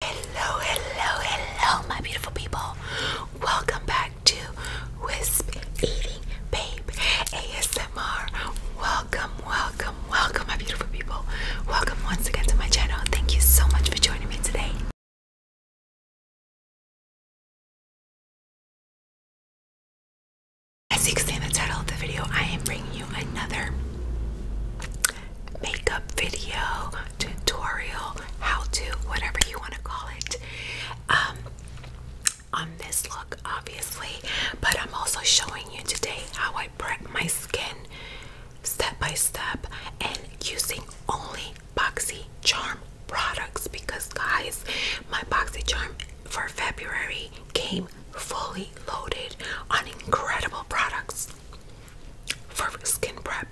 Hello, hello, hello, my beautiful people. Welcome back to Wisp Eating Babe ASMR. Welcome, welcome, welcome, my beautiful people. Welcome once again to my channel. Thank you so much for joining me today. As you can see in the title of the video, I am bringing you another makeup video tutorial, how to, whatever you want to call it, um, on this look, obviously. But I'm also showing you today how I prep my skin step by step and using only Boxy Charm products because, guys, my Boxy Charm for February came fully loaded on incredible products for skin prep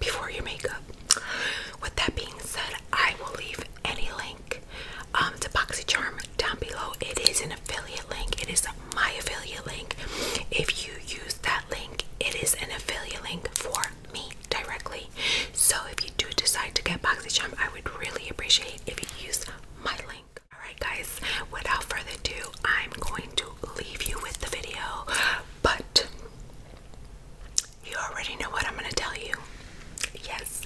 before your makeup. With that being said, I will leave any link um, to BoxyCharm down below. It is an affiliate link. It is my affiliate link. If you use that link, it is an affiliate link for me directly. So if you do decide to get BoxyCharm, I would really appreciate if you use my link. Alright guys, without further ado, I'm going to leave you with the video, but you already know what I'm going to tell you. Yes,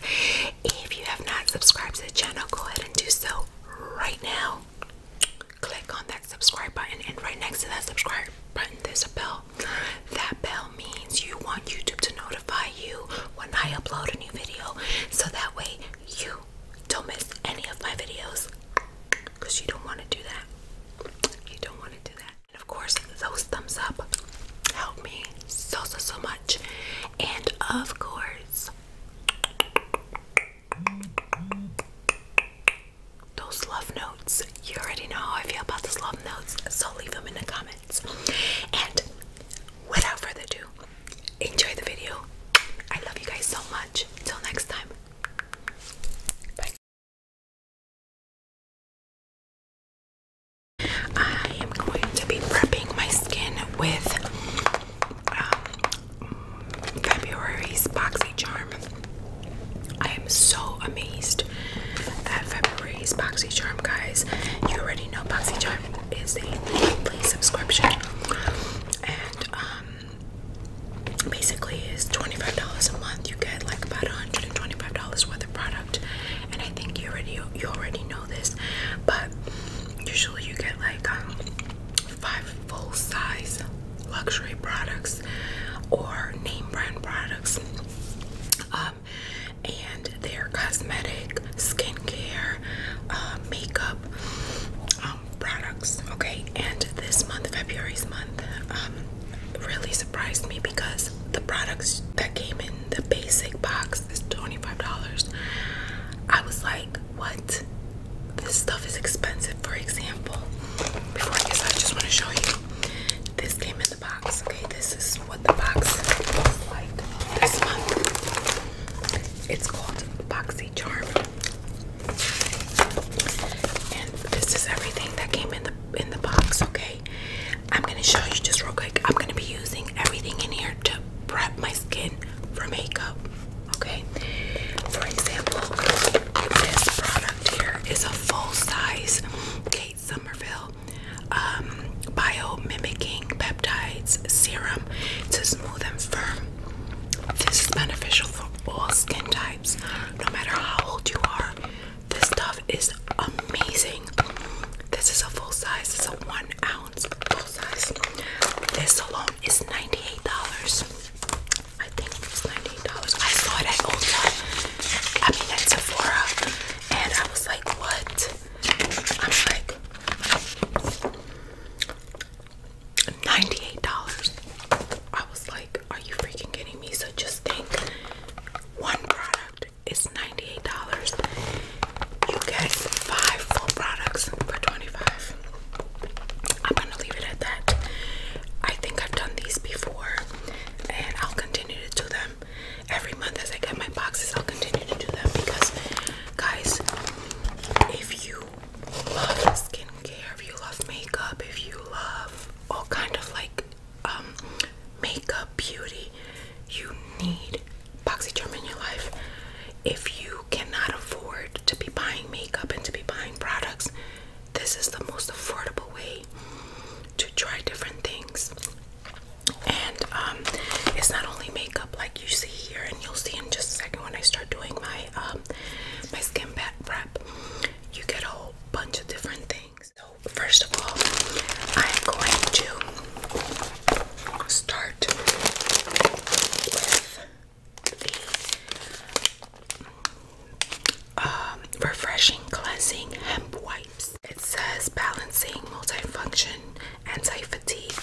if you have not subscribed to the channel, go ahead and do so right now. Click on that subscribe button, and right next to that subscribe button, there's a bell. That bell means you want YouTube to notify you when I upload a new video, so that way you don't miss any of my videos because you don't want to do that. You don't want to do that. And of course, those thumbs up help me so, so, so much. And of course, those love notes. You already know how I feel about those love notes, so leave them in the comments. And without further ado, enjoy the video. I love you guys so much. Until next time, I am going to be prepping my skin with um, February's BoxyCharm. I am so amazed that February's BoxyCharm, guys. You already know BoxyCharm is a monthly subscription, and um, basically is $25 a month. You get like about $125 worth of product. And I think you already you already know this, but usually you get like um, five full size luxury products or name brand products. Um, and they are cosmetic, skincare, uh, makeup, um, products. Okay, and this month, February's month, um, really surprised me because the products that came in the basic box is $25. I was like, what? This stuff is expensive. For example, before I guess I just want to show you. This came in the box. Okay, this is what the box looks like this month. It's called Boxy Charm this is everything that came in the in the box, okay? I'm gonna show you just real quick. I'm gonna be using everything in here to prep my skin for makeup. Okay. For example, this product here is a full-size Kate Somerville um, bio mimicking peptides serum to smooth and firm this is beneficial for all skin types, no matter how old you are. This stuff is amazing. This is a full size, it's a one ounce full size. This alone is $98. I think it was $98. I saw it at Ulta. I mean at Sephora. And I was like, what? I'm like $98. I was like, are you freaking kidding me? So just think one product is $98. You get five full products for 25 I'm gonna leave it at that. I think I've done these before and I'll continue to do them. Every month as I get my boxes, I'll continue to do them because guys, if you love skincare, if you love makeup, if you love all kind of like um, makeup beauty, you need BoxyCharm in your life. If you cannot afford to be buying makeup and to be buying products, this is the most affordable way to try different things. And um, it's not only makeup like you see here, and you'll see in just a second when I start doing my my um my skin pad prep, you get a whole bunch of different things. So first of all, I'm going to start with the um, refreshing cleansing hemp wipes. It says balancing multifunction anti-fatigue.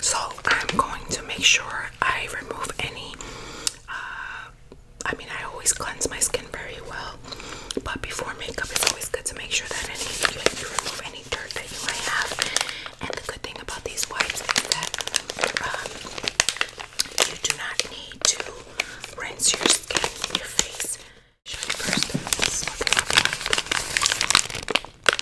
So I'm going to make sure I remove any. Uh, I mean, I always cleanse my skin very well, but before makeup, it's always good to make sure that any like, you remove any dirt that you might have. And the good thing about these wipes is that um, you do not need to rinse your skin, your face. It's my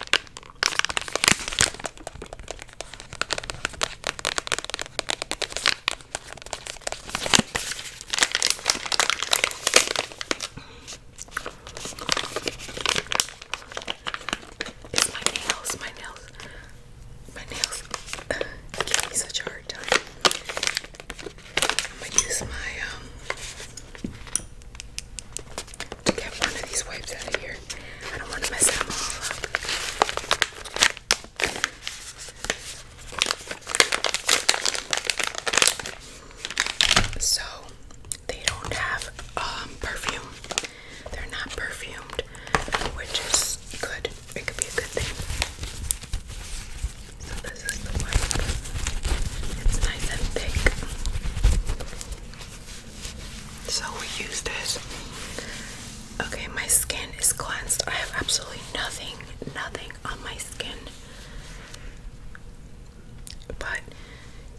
nails, my nails, my nails uh, give me such a hard time. I'm gonna use my um to get one of these wipes out of here. I don't want to mess them all up. So they don't have um, perfume. They're not perfumed, which is good. It could be a good thing. So this is the wipe. It's nice and thick. So we use this. Okay, my skin is cleansed. I have absolutely nothing, nothing on my skin. But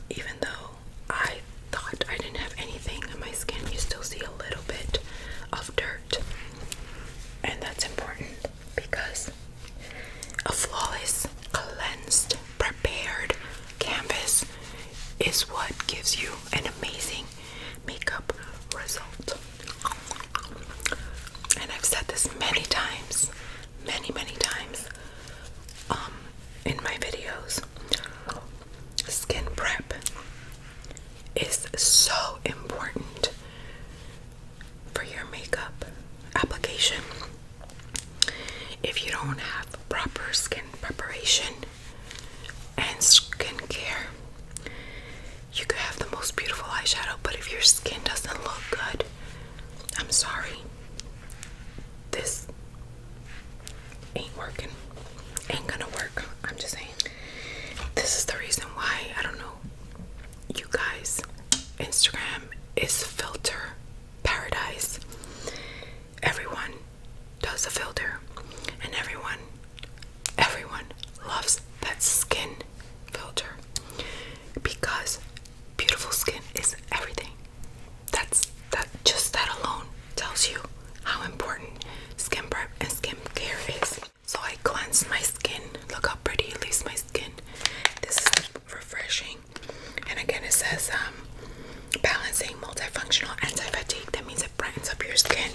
even though I thought I didn't have anything on my skin, you still see a little bit of dirt. And that's important because a flawless, cleansed prepared canvas is what gives you an amazing makeup result. And I've said this many times, many, many times um, in my videos. Skin prep is so important for your makeup application. If you don't have proper skin preparation and skincare, you could have the most beautiful eyeshadow, but if your skin doesn't look good, I'm sorry. This ain't working. Ain't gonna work. I'm just saying. This is the reason why, I don't know, you guys, Instagram is filter paradise everyone does a filter and everyone everyone loves that skin filter because beautiful skin is everything that's that just that alone tells you how important skin prep and skin care is so i cleanse my skin look how pretty it leaves my skin this is refreshing and again, it says um, balancing multifunctional anti-fatigue. That means it brightens up your skin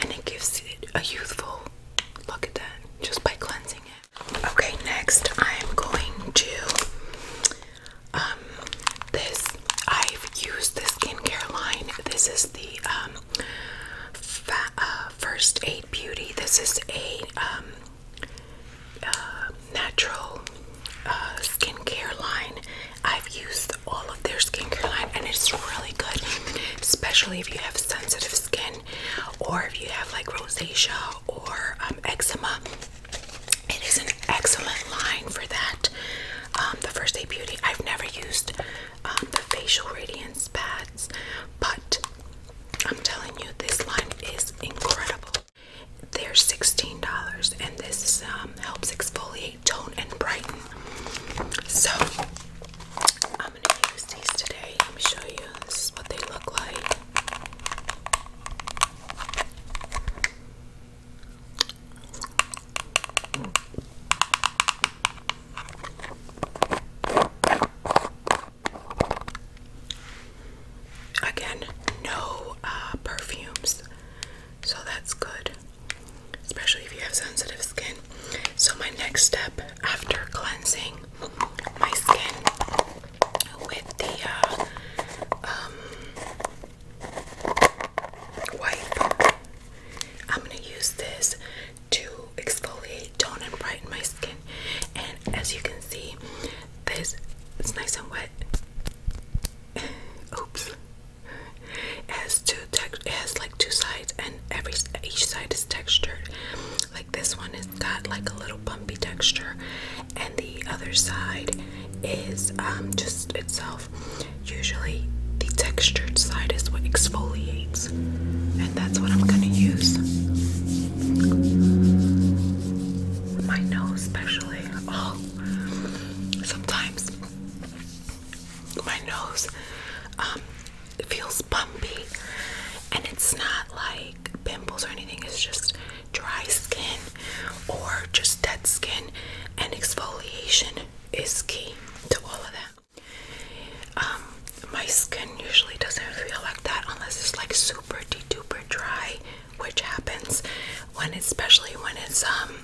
and it gives it a youthful look at that just by cleansing it. Okay, next I am going to um, this. I've used this skincare line. This is the um, uh, First Aid Beauty. This is a uh, natural uh, skincare line. I've used all of their skincare line and it's really good, especially if you have sensitive skin or if you have like rosacea or um, eczema. It is an excellent line for that. Um, the First Day Beauty, I've never used um, the facial radiance pads, but I'm telling you, this line is incredible. They're $16 and this um, helps exfoliate, tone, and brighten. So I'm going to use these today. Let me show you. This is what they look like. Again, no uh, perfumes, so that's good, especially if you have sensitive skin. So, my next step after cleansing my skin with the uh, um, wipe, I'm gonna use this to exfoliate, tone, and brighten my skin. And as you can see, this it's nice and wet. Oops. It has two tex it has like two sides and every each side is textured. Like this one has got like a little bumpy texture and the other side is um just itself. Usually the textured side is what exfoliates and that's what I'm gonna use. My nose especially. Oh, sometimes my nose um, it feels bumpy, and it's not like pimples or anything. It's just dry skin or just dead skin, and exfoliation is key to all of that. Um, my skin usually doesn't feel like that unless it's like super de duper dry which happens when especially when it's um,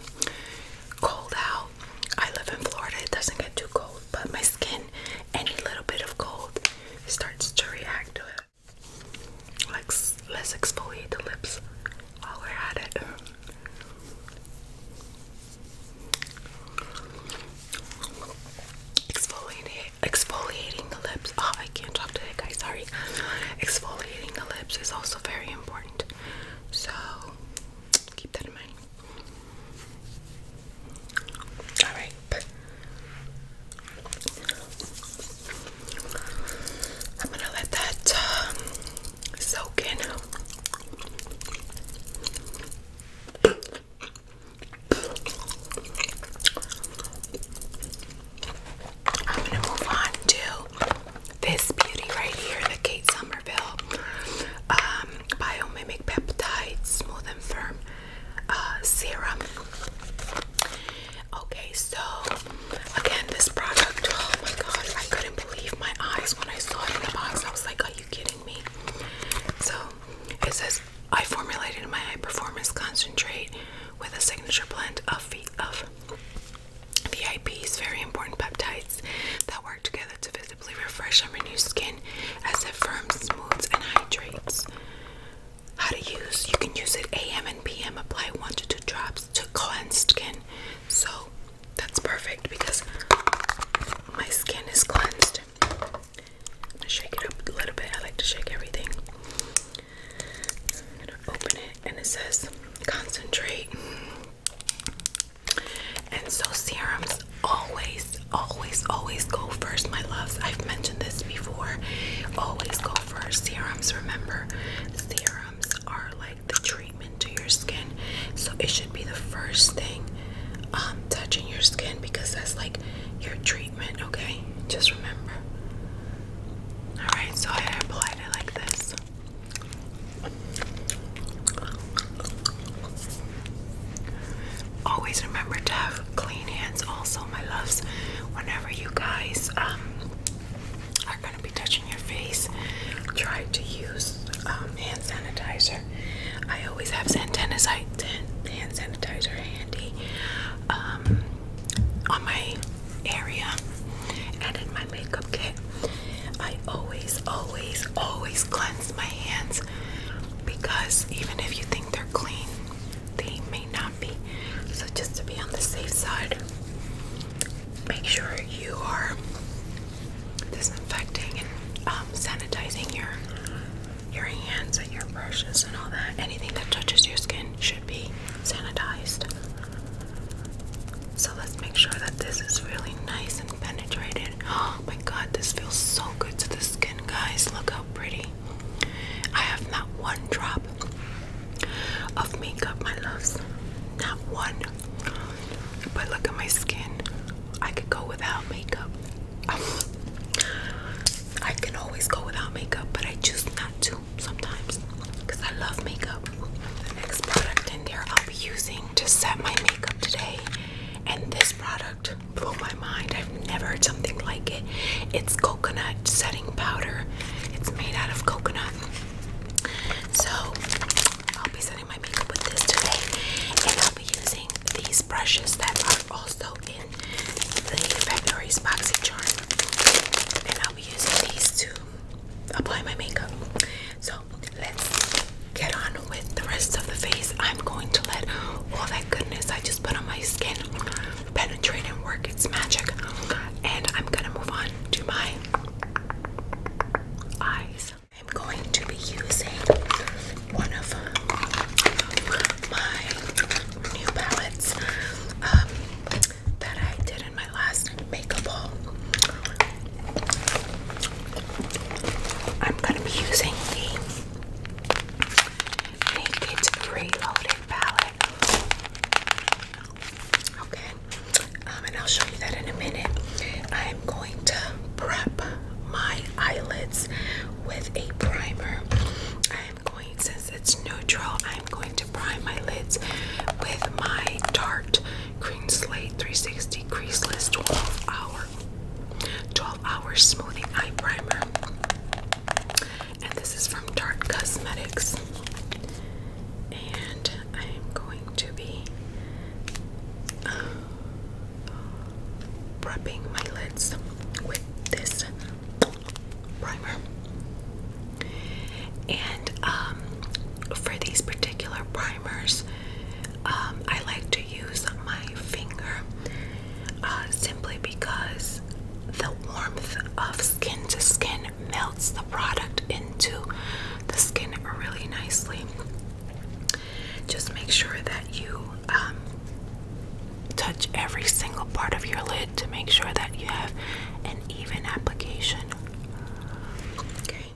cold out. I live in Florida, it doesn't get too cold, but my skin, any little bit of cold, starts to react to it. Let's, let's exfoliate the lips while we're at it. Exfoliating, exfoliating the lips. Oh, I can't talk to that guy. Sorry. Exfoliating the lips is also very important. So keep that in mind. Alright. I'm gonna let that um, soak in. I'm gonna move on to this beauty right here, the Kate Somerville um, Biomimic Peptide Smooth and Firm uh, Serum. Okay, so again, this product, oh my god, I couldn't believe my eyes when I saw it in the box. I was like, are you kidding me? So it says, I formulated my high performance concentrate with a signature blend of, of VIP's very important peptides that work together to visibly refresh and renew skin as it firms, smooths, and hydrates. How to use? You can use it AM and PM. Apply one to two drops to cleanse skin. So that's perfect because my skin is cleansed. shake it up a little bit. I like to shake everything. I'm gonna open it and it says concentrate. And so serums always, always, always go first, my loves. I've mentioned this before. Always go first. Serums, remember, serums are like the treatment to your skin. So it should be the first thing um, touching your skin because that's like your treatment, okay? Just remember. Alright, so I applied it like this. Always remember to have clean hands, also, my loves. Whenever you guys um, are going to be touching your face, try to use um, hand sanitizer. I always have hand sanitizer handy um, on my area and in my makeup kit I always always always cleanse my hands because even if you think they're clean they may not be so just to be on the safe side make sure you are disinfecting and um, sanitizing your your hands and your brushes and all that anything that touches your skin should be sanitized. So let's make sure that this is really nice and penetrated. Oh my god, this feels so good to the skin, guys. Look how pretty. I have not one drop of makeup, my loves. Not one. But look at my skin. I could go without makeup. I can always go without makeup, but I choose not to sometimes because I love makeup. The next product in there I'll be using to set my makeup today, and this product blew my mind. I've never heard something like it. It's coconut setting powder. It's made out of coconut. So I'll be setting my makeup with this today, and I'll be using these brushes that are also in the Naked Boxy Charm. And I'll be using these to apply my makeup. So let's get on with the rest of the face. I'm going to let all that goodness I just put on my skin penetrate and work its magic. And I'm gonna move on to my eyes. I'm going to be using one of my new palettes. Um, that I did in my last makeup I'm gonna be using the Naked Reloaded palette. Okay, um, and I'll show you that in a minute. I'm going to prep my eyelids with a primer since it's neutral, I'm going to prime my lids with my Tarte Green Slate 360 Creaseless 12 Hour 12 Hour Smoothing Eye Primer. And this is from Tarte Cosmetics. And I am going to be uh, my lids with this primer. And um, for these particular primers, um, I like to use my finger uh, simply because the warmth of skin to skin melts the product into the skin really nicely. Just make sure that you um, touch every single part of your lid to make sure that you have an even application. Okay,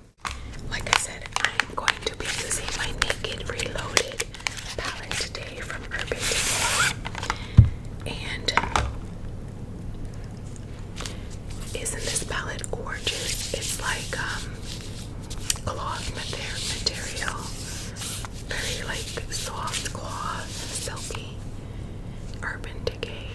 like I said, I'm going to be using my Naked Reloaded palette today from Urban Decay. And isn't this palette gorgeous? It's like a um, cloth material, very like soft cloth, silky Urban Decay.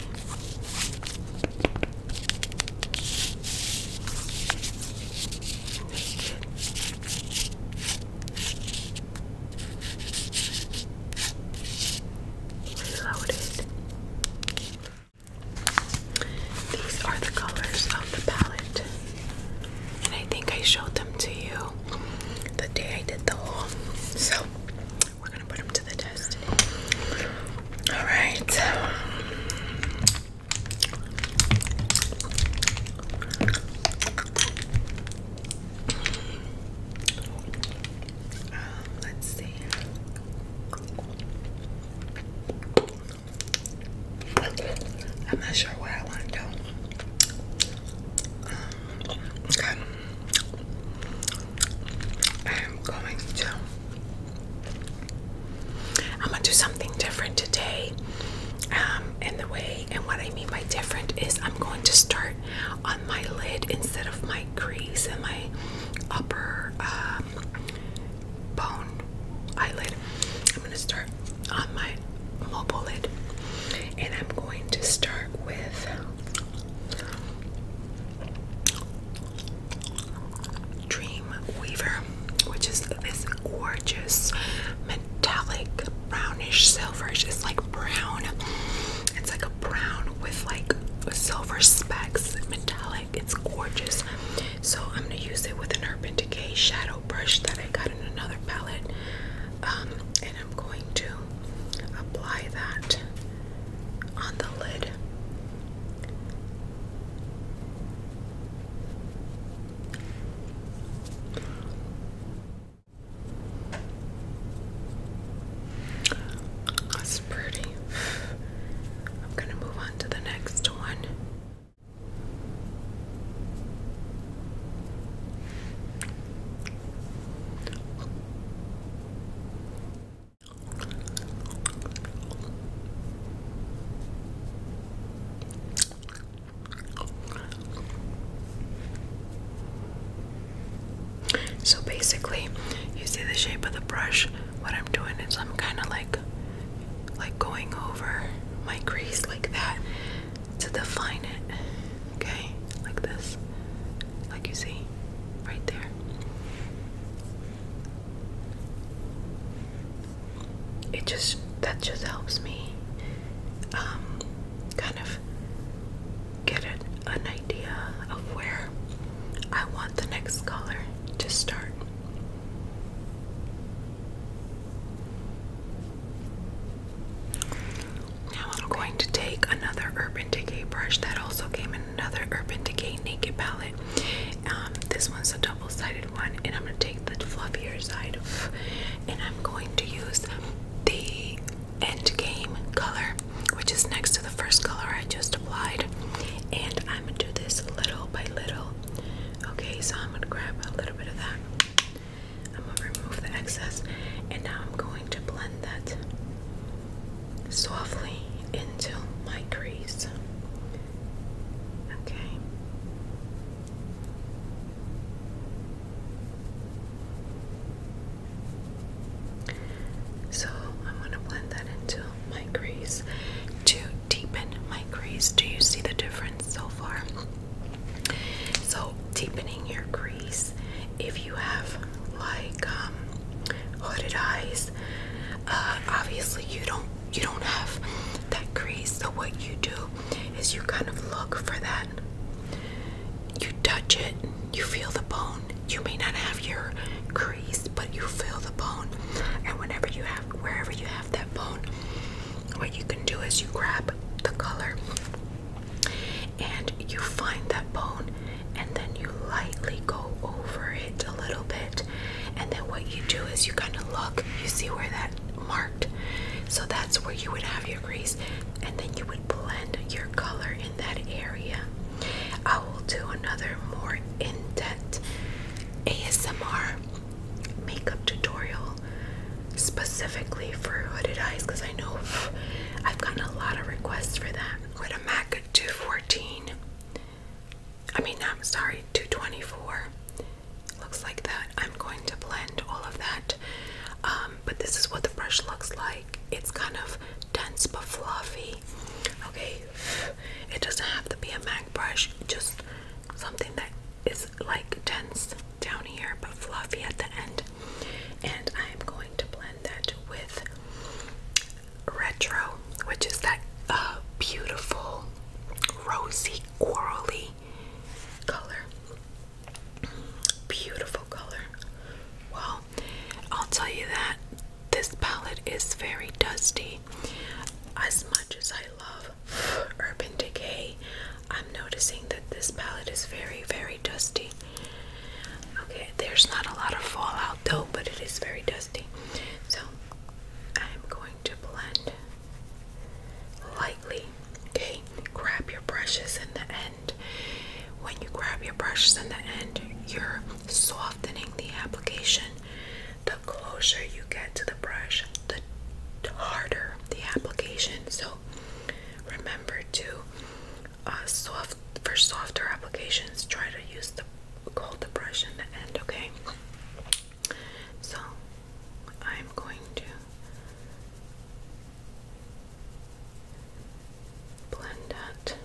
Reloaded. These are the colors of the palette. And I think I showed them to you the day I did the haul. So we're gonna put him to the test All right. Um, let's see. I'm not sure what I want to do. I am going to. I'm gonna do something different today. Um, and the way, and what I mean by different is I'm going to start on my lid instead of my crease and my upper um, bone eyelid. I'm gonna start on my mobile lid, and I'm going to start with. Dream Weaver, which is this gorgeous metallic brownish silver, It's like brown. It's like a brown with like silver specks, metallic. It's gorgeous. So I'm gonna use it with an Urban Decay shadow brush that I got in another palette, um, and I'm going to apply that on the lid. That's pretty. I'm going to move on to the next one. So basically, you see the shape of the brush. What I'm doing is I'm kind of like like going over my crease like that to define it, okay? Like this, like you see right there. It just, that just helps me um, kind of get an, an idea of where I want the next color to start. Now I'm going to take another Urban Decay brush that also came in another Urban Decay Naked palette. Um, this one's a double-sided one, and I'm going to take the fluffier side, and I'm going to use the End Game color, which is next to the first color I just applied, and I'm going to do this little by little. Okay, so I'm going to grab a little bit of that. I'm gonna remove the excess and now I'm going to blend that softly into my crease. Okay. So I'm going to blend that into my crease to deepen my crease. Do you see the difference so far? So deepening your crease. If you have like um, hooded eyes, uh, obviously you don't you don't have that crease. So what you do is you kind of look for that. You touch it, you feel the bone. You may not have your crease, but you feel the bone. And whenever you have, wherever you have that bone, what you can do is you grab the color and you find that bone and then you lightly go over it a little bit and then what you do is you kind of look you see where that marked so that's where you would have your grease and then you would blend your color in that area i will do another more in-depth asmr makeup tutorial specifically for hooded eyes because I know I've gotten a lot of requests for that. With a MAC 214, I mean, I'm sorry, 224. Looks like that. I'm going to blend all of that. Um, but this is what the brush looks like. It's kind of dense but fluffy. Okay, it doesn't have to be a MAC brush, just something that is like dense down here but fluffy at the end. And I'm going to blend that with Retro, which is that uh, beautiful rosy corally color. Beautiful color. Well, I'll tell you that this palette is very dusty. As much as I love Urban Decay, I'm noticing that this palette is very, very dusty. Okay, there's not a lot of fallout though, but it is very dusty. So I'm going to blend lightly. Okay, grab your brushes in the end. When you grab your brushes in the end, you're softening the application. The closer you get to the brush, the harder the application. So Remember to uh, soft for software applications. Try to use the hold the brush in the end. Okay. So I'm going to blend that. Okay.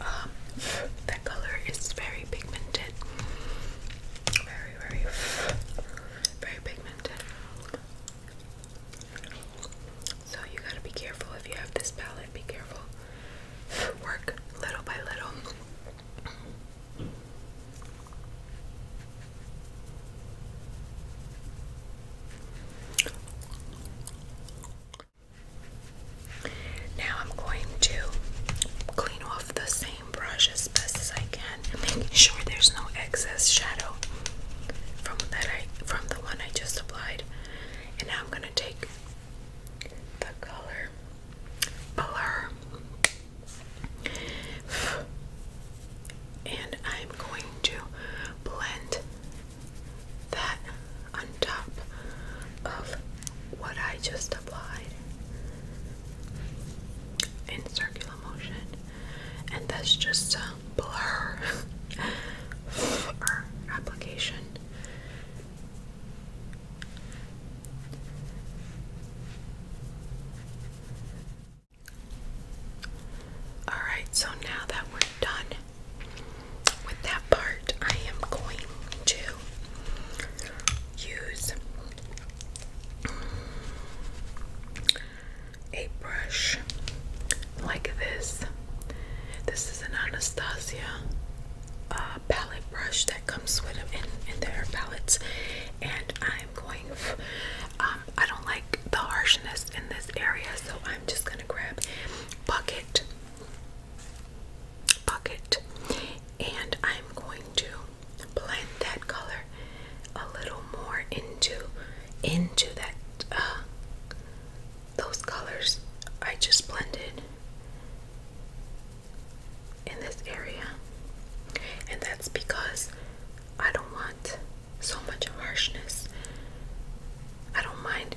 Um, that color is very pigmented. Very, very, very pigmented. So you gotta be careful if you have this palette. Be careful. Work little by little. Now I'm going to clean off the same brush as best as I can, making sure there's no excess shadow from that I from the one I just applied. And now I'm gonna take the color blur and I'm going to blend that on top of what I just applied in circular motion, and that's just a blur application. All right, so now that we're done with that part, I am going to use a brush like this. This is an Anastasia uh, palette brush that comes with them in, in their palettes, and I'm going. Um, I don't like the harshness in this area, so I'm just gonna grab bucket bucket and I'm going to blend that color a little more into into that uh, those colors I just blended in this area and that's because I don't want so much harshness I don't mind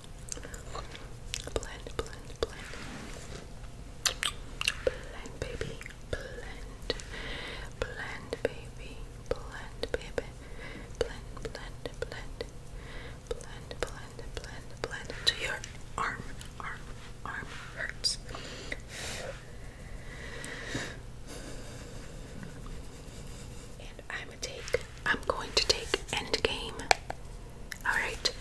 Blend, blend, blend. Blend, baby. Blend. Blend, baby. Blend, baby. Blend, blend, blend. Blend, blend, blend, blend. To your arm, arm, arm hurts. And I'm I'm going to take Endgame. Alright.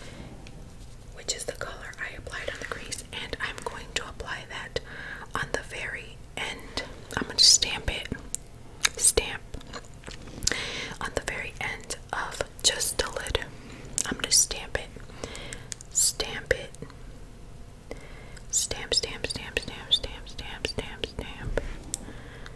Which is the color I applied on the crease. And I'm going to apply that on the very end. I'm going to stamp it. Stamp. On the very end of just the lid. I'm going to stamp it. Stamp it. stamp, stamp, stamp, stamp, stamp, stamp, stamp.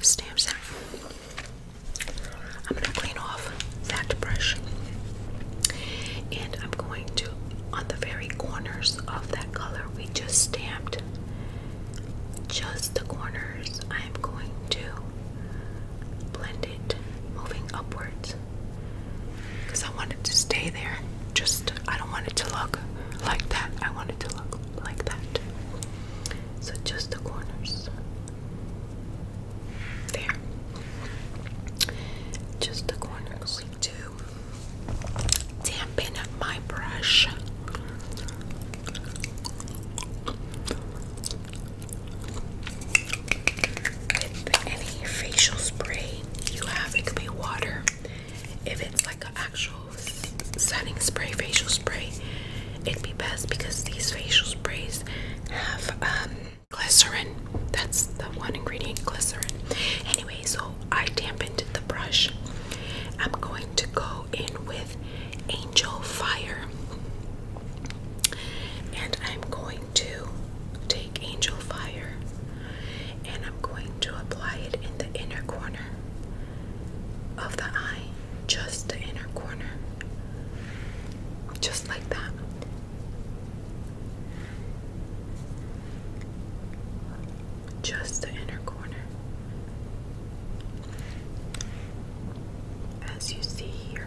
stamps out. I'm going to clean off that brush and I'm going to, on the very corners of that color we just stamped, just the corners, I am going to blend it moving upwards because I want it to stay there. Just, I don't want it to look like that. I want it to look like that so just the corners there just the corners to dampen my brush with any facial spray you have it could be water if it's like an actual setting spray, facial spray, it'd be best because these facial sprays have um, glycerin. That's the one ingredient, glycerin. Anyway, so I dampened the brush. I'm going to go in with Angel Fire. And I'm going to take Angel Fire and I'm going to apply it in the inner corner of the eye, just the inner corner, just like that. Just the inner corner. As you see here.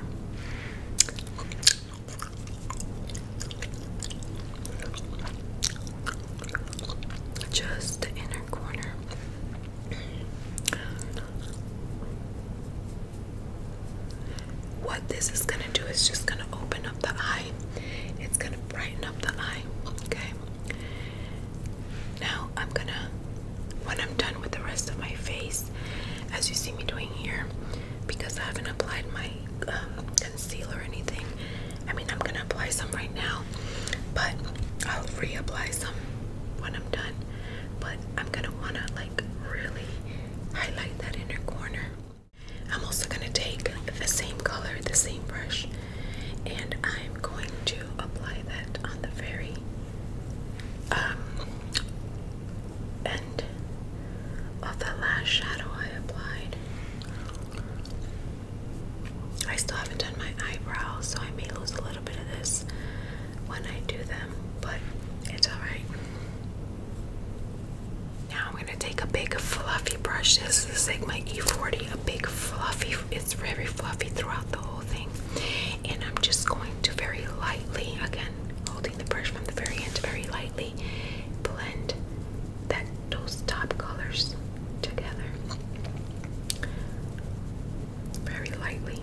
Just the inner corner. What this is gonna do is just gonna open up the eye. It's gonna brighten up the eye. Okay. Now I'm gonna when I'm done with the rest of my face, as you see me doing here, because I haven't applied my um, concealer or anything. I mean, I'm gonna apply some right now but I'll reapply some when I'm done. But I'm gonna wanna like really highlight that inner corner. I'm also gonna take the same color, the same brush, and I'm going to apply that on the very um, end of the last shadow I applied. I still haven't done my eyebrows, so I may lose a little bit of this when I do them, but it's alright. Now I'm gonna take a big fluffy brush. This is like my E40, a big fluffy, it's very fluffy throughout the whole thing. And I'm just going to very lightly, again, holding the brush from the very end, very lightly blend that those top colors together very lightly.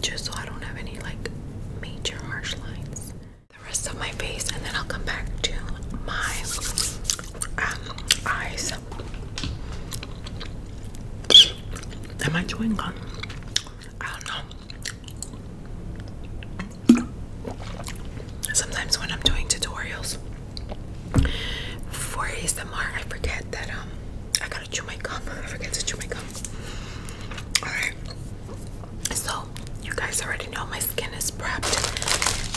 Just so I don't have any like major harsh lines. The rest of my face, and then I'll come back to my um, eyes. Am I chewing gum? I don't know. Sometimes when I'm doing tutorials, for ASMR, I forget that um I gotta chew my gum. I forget to chew my gum. Alright. So you guys already know my skin is prepped.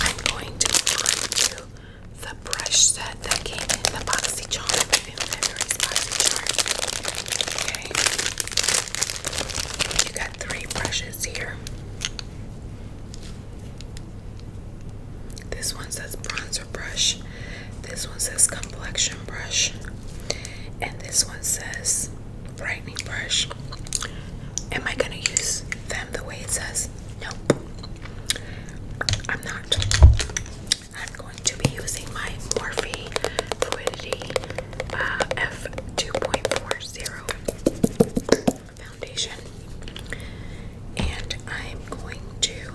I'm going to go to the brush set that came in the boxy charm boxy charm. Okay. You got three brushes here. This one says bronzer brush. This one says complexion brush. And this one says brightening brush. Am I going to use them the way it says? Nope. I'm not. I'm going to be using my Morphe Fluidity uh, F2.40 foundation. And I'm going to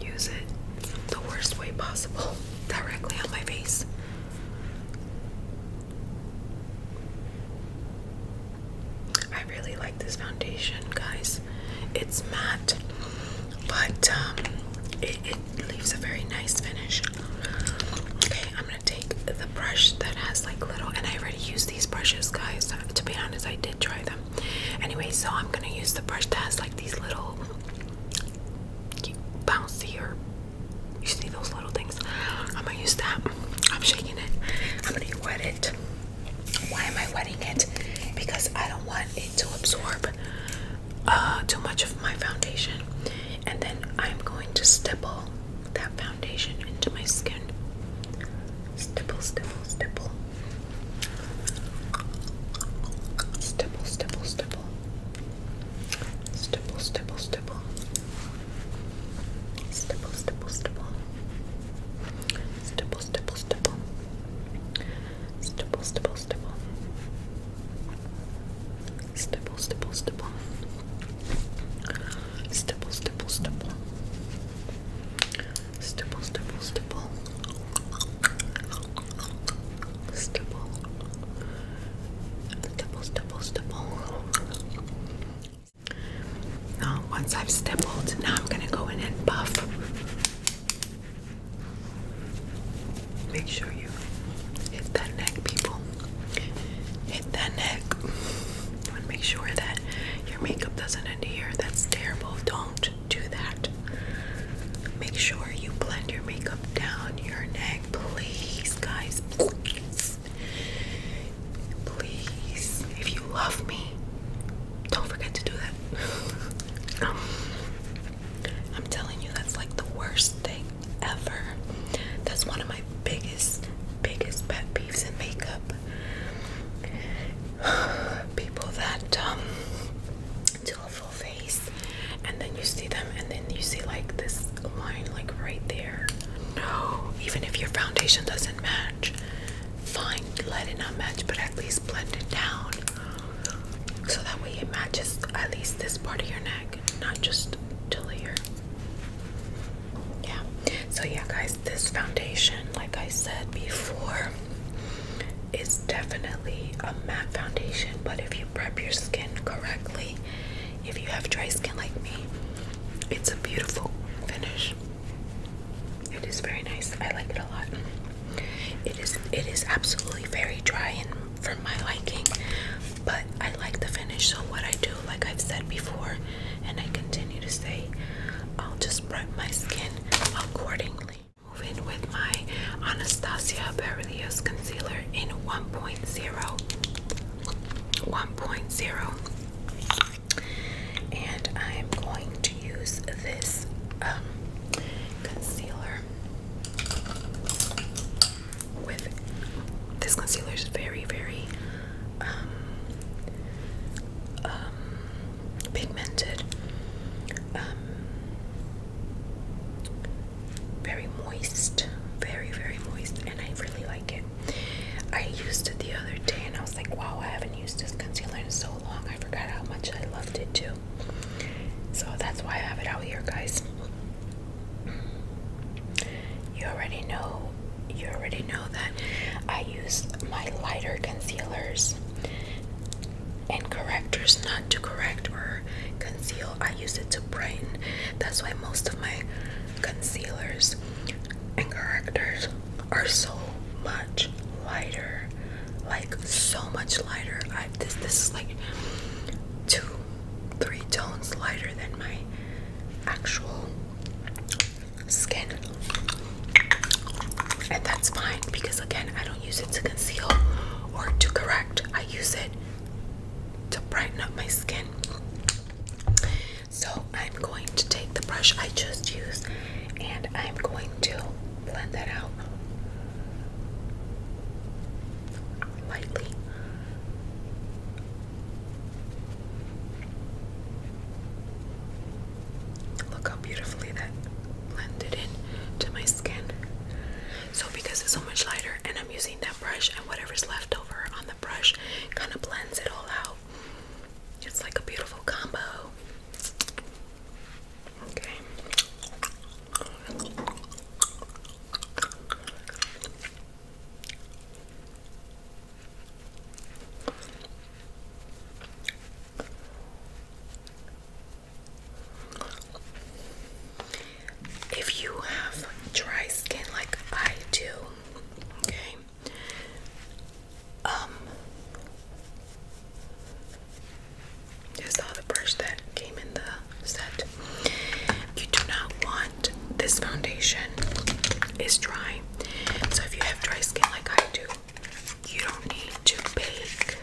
use it the worst way possible directly on my face. I really like this foundation, guys. It's matte, but um, it, it leaves a very nice finish. Okay, I'm gonna take the brush that has like little, and I already used these brushes, guys. To be honest, I did try them. Anyway, so I'm gonna use the brush that has like these little bouncy or you see those little things. I'm gonna use that. I'm shaking it. I'm gonna wet it. Why am I wetting it? Because I don't want it to absorb uh, too much of my foundation. And then I'm going to stipple that foundation into my skin. Stipple, stipple, stipple. Stipple, stipple, stipple. Stipple, stipple, stipple. Stipple, stipple, stipple. Stipple, stipple, stipple. Stipple, stipple, stipple. Stipple, stipple, stipple. Stipple, stipple, stipple. Stipple, stipple, stipple. Stipple. Stipple, stipple, stipple. Now, once I've stippled, now I'm going to go in and buff. Make sure you hit that neck, people. Hit that neck. make sure that your makeup doesn't end here. That's terrible. Don't do that. Make sure you blend your makeup down your neck, please, guys. Please. If you love me, don't forget to do that. I'm telling you, that's like the worst thing ever. That's one of my biggest, biggest pet peeves in makeup. People that um, do a full face and then you see them and then you see like this line like right there. No, even if your foundation doesn't match, fine, let it not match, but at least blend it down so that way it matches at least this part of your neck not just till here. Yeah. So yeah, guys, this foundation, like I said before, is definitely a matte foundation, but if you prep your skin correctly, if you have dry skin like me, it's a beautiful finish. It is very nice. I like it a lot. It is it is absolutely very dry and for my liking, but I like the finish. So, what I do, like I've said before, and I continue to say, I'll just prep my skin accordingly. Moving with my Anastasia Beverly Hills Concealer in 1.0. 1.0. And I am going to use this um, concealer with this concealer is very very um, um, pigmented um, very moist very very moist and I really like it I used it the other day and I was like wow I haven't used this concealer in so long I forgot how much I loved it too so that's why I have it out here guys you already know you already know that I use my lighter concealers and correctors not to correct or conceal. I use it to brighten. That's why most of my concealers and correctors are so much lighter. Like so much lighter. I this this is like two three tones lighter than my actual skin. And that's fine because, again, I don't use it to conceal or to correct, I use it to brighten up my skin. So, I'm going to take the brush I just used and I'm going to blend that out lightly Look how beautifully that blended in to my skin. So because it's so much lighter and I'm using that brush and whatever's left over on the brush kind of blends it all out. It's like a beautiful combo. Okay. If you have dry skin like I do, okay, um, this is the brush that came in the set. You do not want this foundation is dry. So if you have dry skin like I do, you don't need to bake.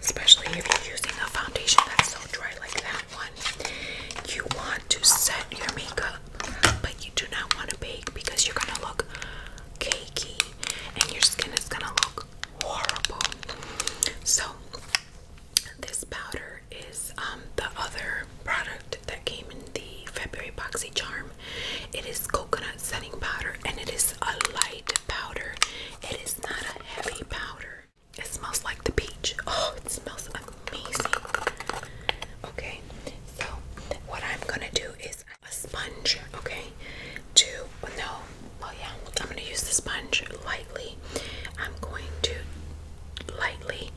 Especially if you're using a foundation that's so dry like that one. You want to set your makeup, but you do not want to bake because you're gonna look cakey and your skin is gonna look horrible. So this powder is um, the other product that came in the February Boxy Charm. It is coconut setting powder and it is a light powder. It is not a heavy powder. It smells like the peach. Oh, it smells amazing. Okay, so what I'm gonna do is a sponge, okay? To no, well, yeah, I'm gonna use the sponge lightly. I'm going to lightly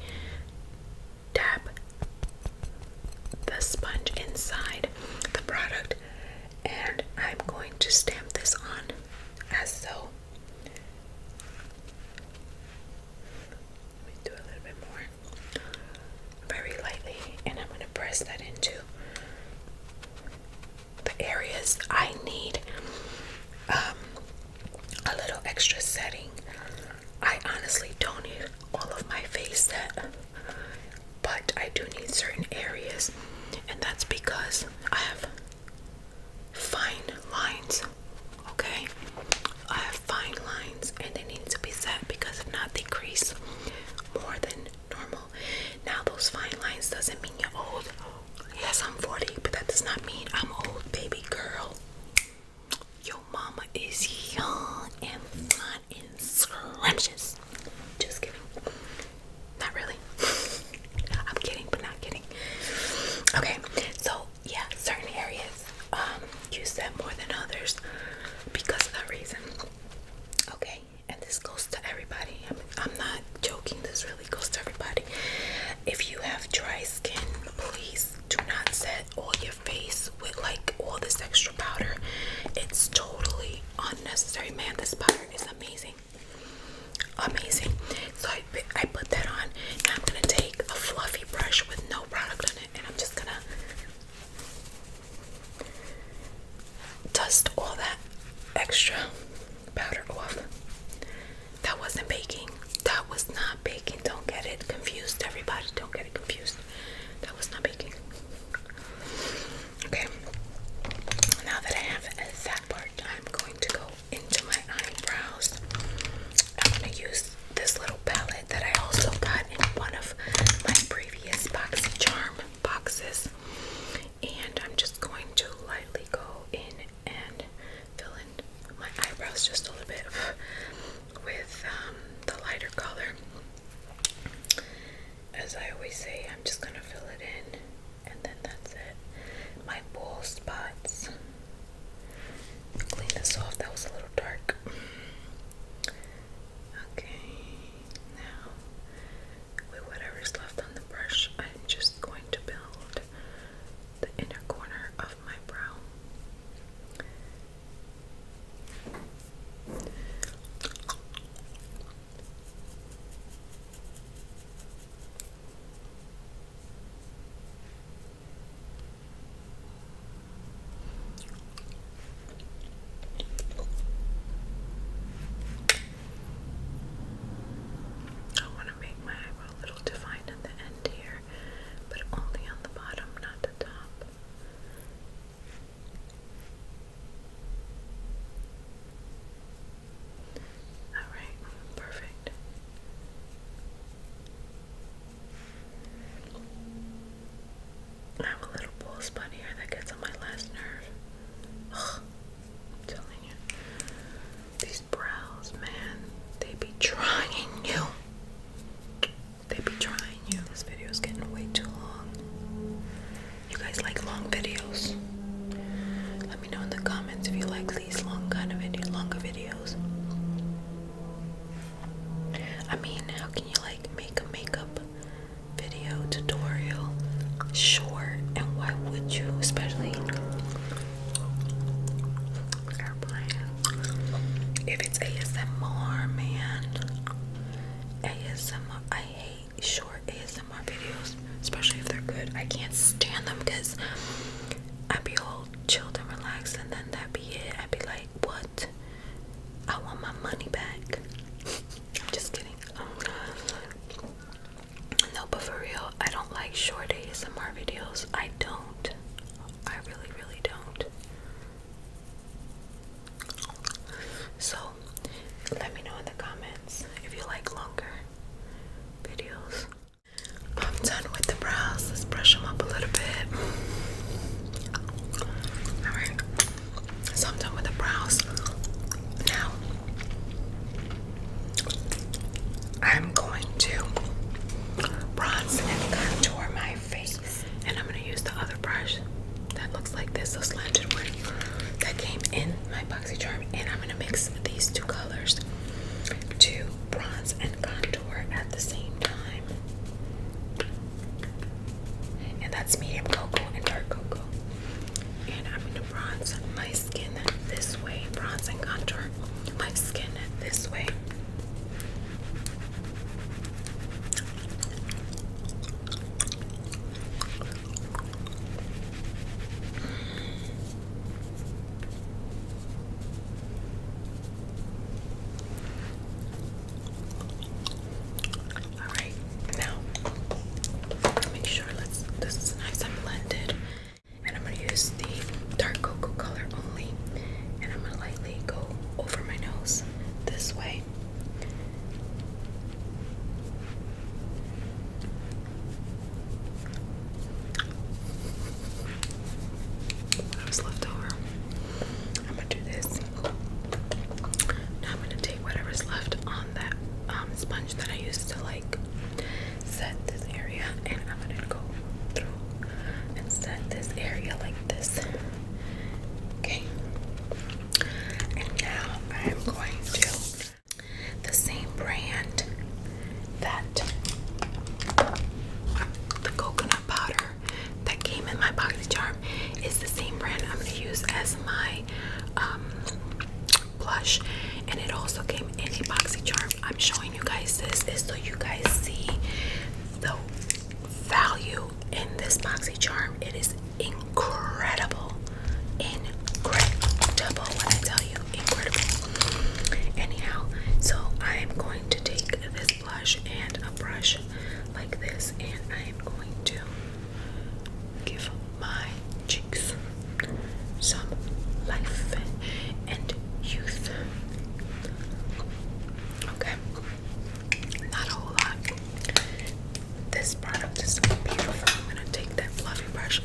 dab the sponge inside the product and I'm going to stamp this on as so. Let me do a little bit more. Very lightly, and I'm going to press that into the areas I need um, a little extra setting. I honestly don't need all of my face set, but I do need certain areas, and that's because I have fine lines. Okay, I have fine lines, and they need to be set because if not, they crease more than normal. Now, those fine lines doesn't mean you're old. Yes, I'm 40, but that does not mean I'm old, baby girl. Your mama is young and fun and scrumptious. Just kidding. Not really. I'm kidding, but not kidding. Okay, so yeah, certain areas um, use them more than others because of that reason. Okay, and this goes to everybody. I'm not joking, this really goes to everybody. If you have dry skin, please do not set all your face with like all this extra powder. It's totally unnecessary. Man, this powder is amazing. Amazing. So I, I put that on. Now I'm gonna take a fluffy brush with no product on it and I'm just gonna dust all that extra powder off. That wasn't baking. That was not baking. Don't get it confused, everybody. Don't get it confused. That was not baking. Okay. Now that I have that part, I'm going to go into my eyebrows. I'm going to use this little palette that I also got in one of my previous Boxy boxes. And I'm just going to lightly go in and fill in my eyebrows just a little bit with um, the lighter color. As I always say, I'm just gonna fill it in, and then that's it. My bowl spots. Clean this off. That was a little dark. Okay, now with whatever's left on the brush, I'm just going to build the inner corner of my brow. I want to make my a little defined at the end here, but only on the bottom, not the top. Alright, perfect. I have a little bull spot here that gets on my last nerve. Ugh, I'm telling you brows, man. They be trying you. They be trying you. This video is getting way too long. You guys like long videos? Let me know in the comments if you like these long kind of video, longer videos. I mean, how can you like make a makeup video tutorial short? And why would you, especially if it's ASMR, man. ASMR. I hate short ASMR videos, especially if they're good. I can't stand them because I'd be all chilled and relaxed, and then that'd be it. I'd be like, what? I want my money back. I'm just kidding. No, but for real, I don't like short ASMR videos. I don't. I really, really don't. So, let me know in the comments if you like longer videos. I'm done with the brows. Let's brush them up a little bit. Alright, so I'm done with the brows. Now, I'm going to bronze and contour my face, and I'm going to use the other brush that looks like this, the slanted one that came in my BoxyCharm, and I'm going to mix these two colors to bronze and contour at the same time. And that's medium cocoa and dark cocoa bronze my skin this way, bronze contour my skin this way. All right, now make sure let's. This is nice and blended and I'm going to use the dark cocoa color only and I'm going to lightly go over my nose this way what left over I'm going to do this now I'm going to take whatever's left on that um, sponge that I used to like set this area and I'm gonna go through and set this area like this. Okay. And now I'm going to the same brand that the coconut powder that came in my box charm is the same brand I'm gonna use as my um, blush and it also came in a boxy charm i'm showing you guys this is so you guys see the value in this boxy charm it is incredible incredible when i tell you incredible anyhow so i am going to take this blush and a brush like this and i am going to give my cheeks some life and youth. Okay, not a whole lot. This product is beautiful. I'm gonna take that fluffy brush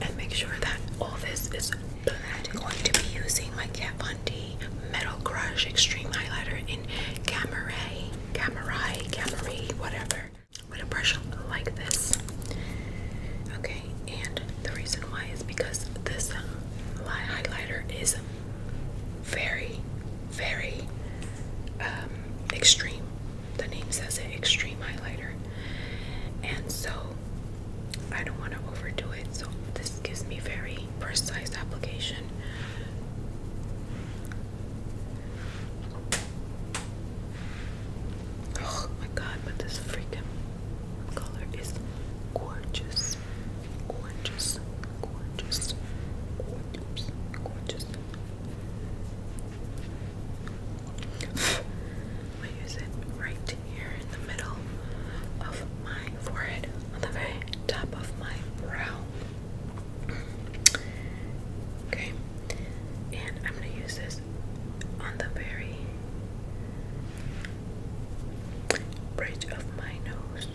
and make sure that all this is blended. I'm going to be using my Kat Von D Metal Crush Extreme Highlighter in Cameray, Cameray, Cameray, whatever. I'm brush like this. Okay, and the reason why is because this um, light highlighter is very, very um, extreme. The name says it, extreme highlighter. And so I don't want to overdo it. So this gives me very precise application. Oh my god, but this freaking color is gorgeous. Gorgeous. Gorgeous. Gorgeous. Gorgeous. I use it right here in the middle of my forehead, on the very top of my brow. Okay and I'm gonna use this on the very bridge of my nose.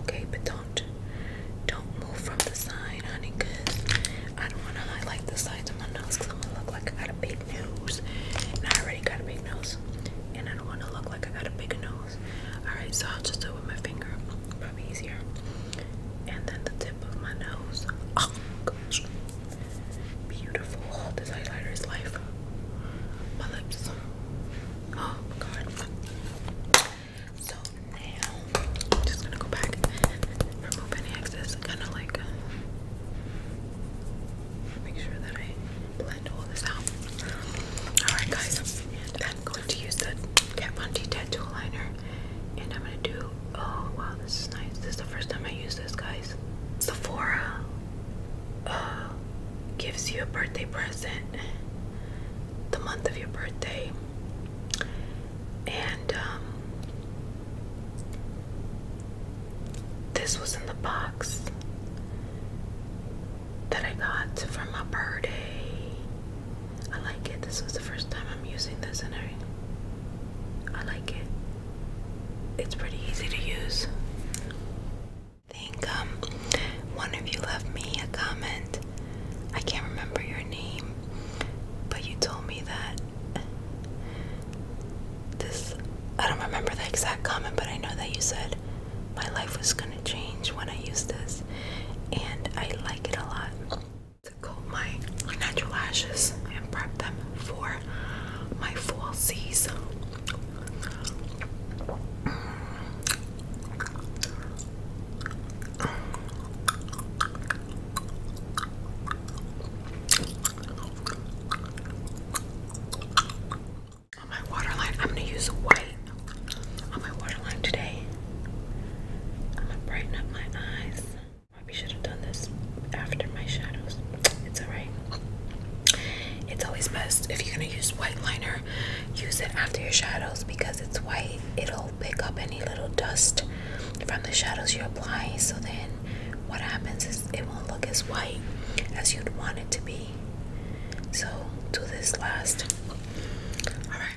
Okay, but don't don't move from the side, honey, cause I don't wanna highlight the sides of my nose because I'm gonna look like I got a big nose. And I already got a big nose. And I don't wanna look like I got a big nose. Alright, so I'll just do it with my finger easier. And then the tip of my nose. Oh, Beautiful. this highlighter is life. My lips. Oh god. So now I'm just gonna go back remove any excess. Kind of like uh, make sure that I blend all this out. Alright guys, and I'm going to use the Kat Von D tattoo liner and I'm gonna do oh wow this is nice this is the first time I use this guys Sephora uh, gives you a birthday present the month of your birthday and um, this was in the box that I got for my birthday I like it. This was the first time I'm using this and I, like it. It's pretty easy to use. I think um, one of you left me a comment. I can't remember your name, but you told me that this, I don't remember the exact comment, but I know that you said my life was gonna change when I used this, and I like it a lot to comb my natural lashes and prep them for my fall season. On my waterline, I'm going to use white on my waterline today. I'm going to brighten up my eyes. Probably should have done this after my shadows. It's alright. It's always best if you're gonna use white liner, use it after your shadows because it's white. It'll pick up any little dust from the shadows you apply. So then, what happens is it won't look as white as you'd want it to be. So do this last. All right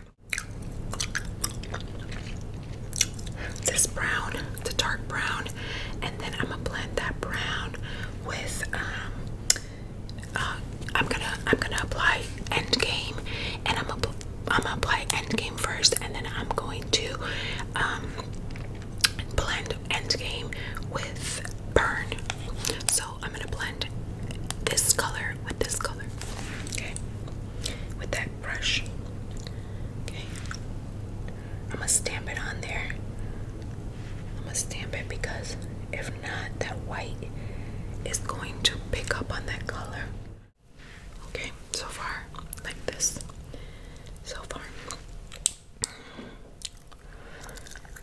this brown to dark brown, and then I'm gonna blend that brown with. Um, uh, I'm gonna I'm gonna apply Endgame, and I'm gonna I'm gonna apply Endgame first, and then I'm going to um, blend Endgame with Burn. So I'm gonna blend this color with this color, okay, with that brush. Okay. I'm gonna stamp it on there. I'm gonna stamp it because if not, that white is going to pick up on that color. Okay, so far, like this. So far.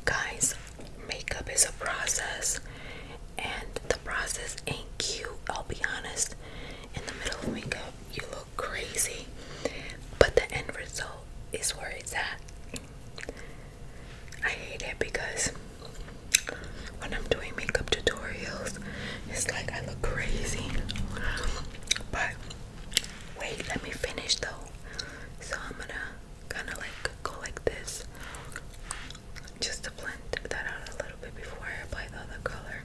Guys, makeup is a process and the process ain't cute. I'll be honest. In the middle of makeup, you look crazy, but the end result is where it's at. I hate it because when I'm doing makeup tutorials, it's like I look crazy. But wait, let me finish though. So I'm gonna kind of like go like this just to blend that out a little bit before I apply the other color.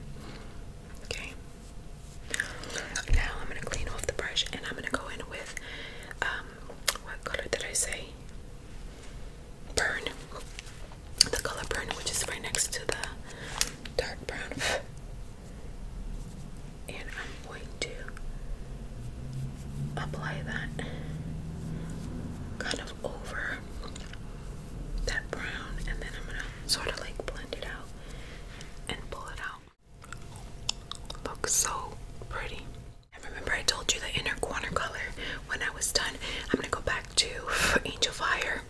Okay. Now I'm gonna clean off the brush and I'm gonna go in with um, what color did I say? Burn. The color burn, which is right next to the dark brown. And I'm going to apply that kind of over that brown, and then I'm gonna sort of like blend it out and pull it out. Looks so pretty. I remember I told you the inner corner color when I was done. I'm gonna go back to Angel Fire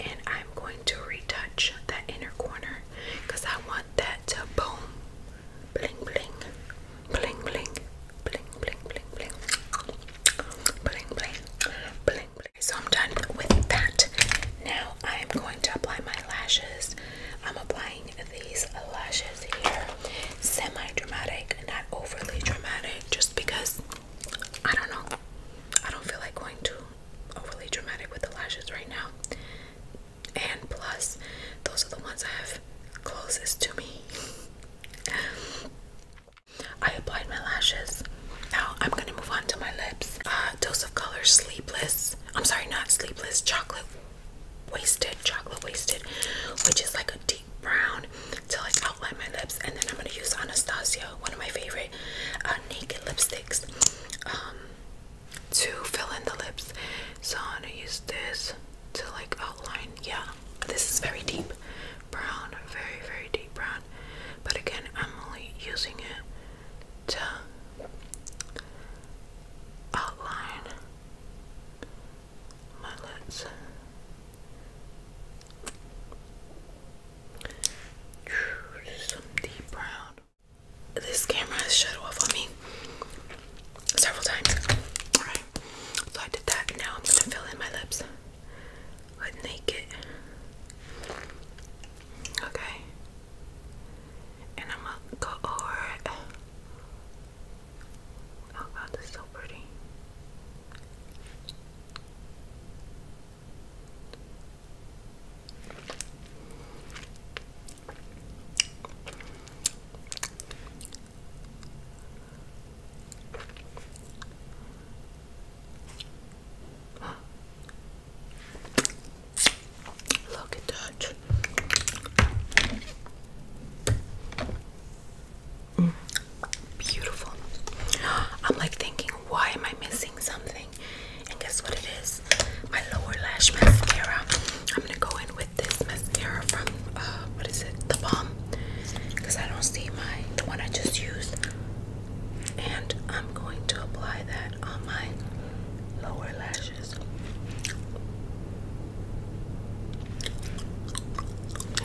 and I'm going to retouch that inner corner because I want that boom, bling, bling, bling, bling, bling, bling, bling, bling. So I'm done with that. Now I'm going to apply my lashes. I'm applying these lashes here. Semi-dramatic, not overly dramatic, just because I don't know. I don't feel like going too overly dramatic with the lashes right now. And plus, those are the ones I have closest to me. I applied my lashes. Now I'm gonna move on to my lips. Uh, Dose of Color Sleepless. I'm sorry, not Sleepless. Chocolate Wasted. Chocolate Wasted, which is like a deep brown to like outline my lips. And then I'm gonna use Anastasia, one of my favorite uh, naked lipsticks, um, to fill in the lips. So I'm gonna use this to like outline. Yeah, this is very deep brown, very, very deep brown. But again, I'm only using it to outline my lids. Some deep brown. This camera has shut off on me several times. Alright, so I did that. Now I'm gonna fill in my lips. I'd make Okay. And I'm gonna go over it. Oh god, this is so pretty. Look at that. Mm. Beautiful. I'm like thinking, why am I missing something? And guess what it is? My lower lash mascara. I'm gonna go in with this mascara from uh, what is it? The Balm because I don't see my the one I just used. And I'm going to apply that on my lower lashes.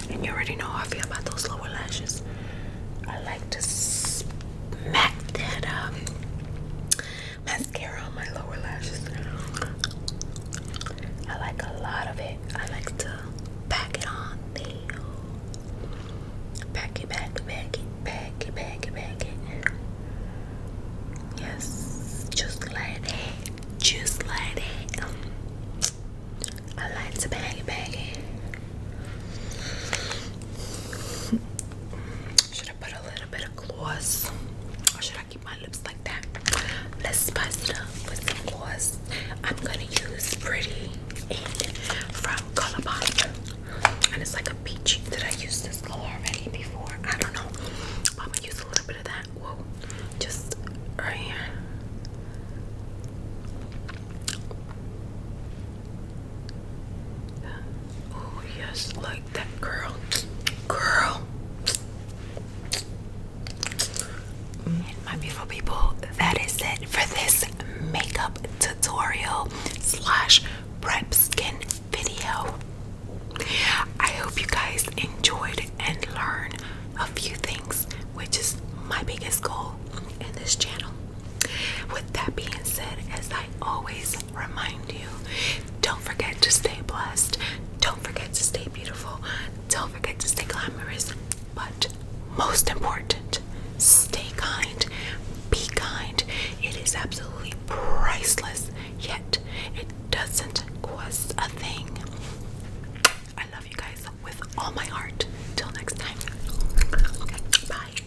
And you already know how I feel about those lower lashes. I like to smack that um, mascara on my lower lashes. I like a lot of it. I like to pack it on nail. Pack it, pack it, pack it, pack it, pack it, pack it. Yes, just like that, just like that. Um, I like to bag it, bag it. Should I put a little bit of gloss, or should I keep my lips like that? Let's spice it up with some gloss. I'm gonna use Pretty and from Colourpop, and it's like a peachy. that I used this color already before? I don't know. I'm gonna use a little bit of that. Whoa, just right here. Oh yes, like that girl, girl my beautiful people, that is it for this makeup tutorial slash prep skin video. I hope you guys enjoyed and learned a few things, which is my biggest goal in this channel. With that being said, as I always remind you, don't forget to stay blessed, don't forget to stay beautiful, don't forget to stay glamorous, but most important, stay kind, be kind. It is absolutely priceless, yet it doesn't cost a thing. I love you guys with all my heart. Till next time, bye.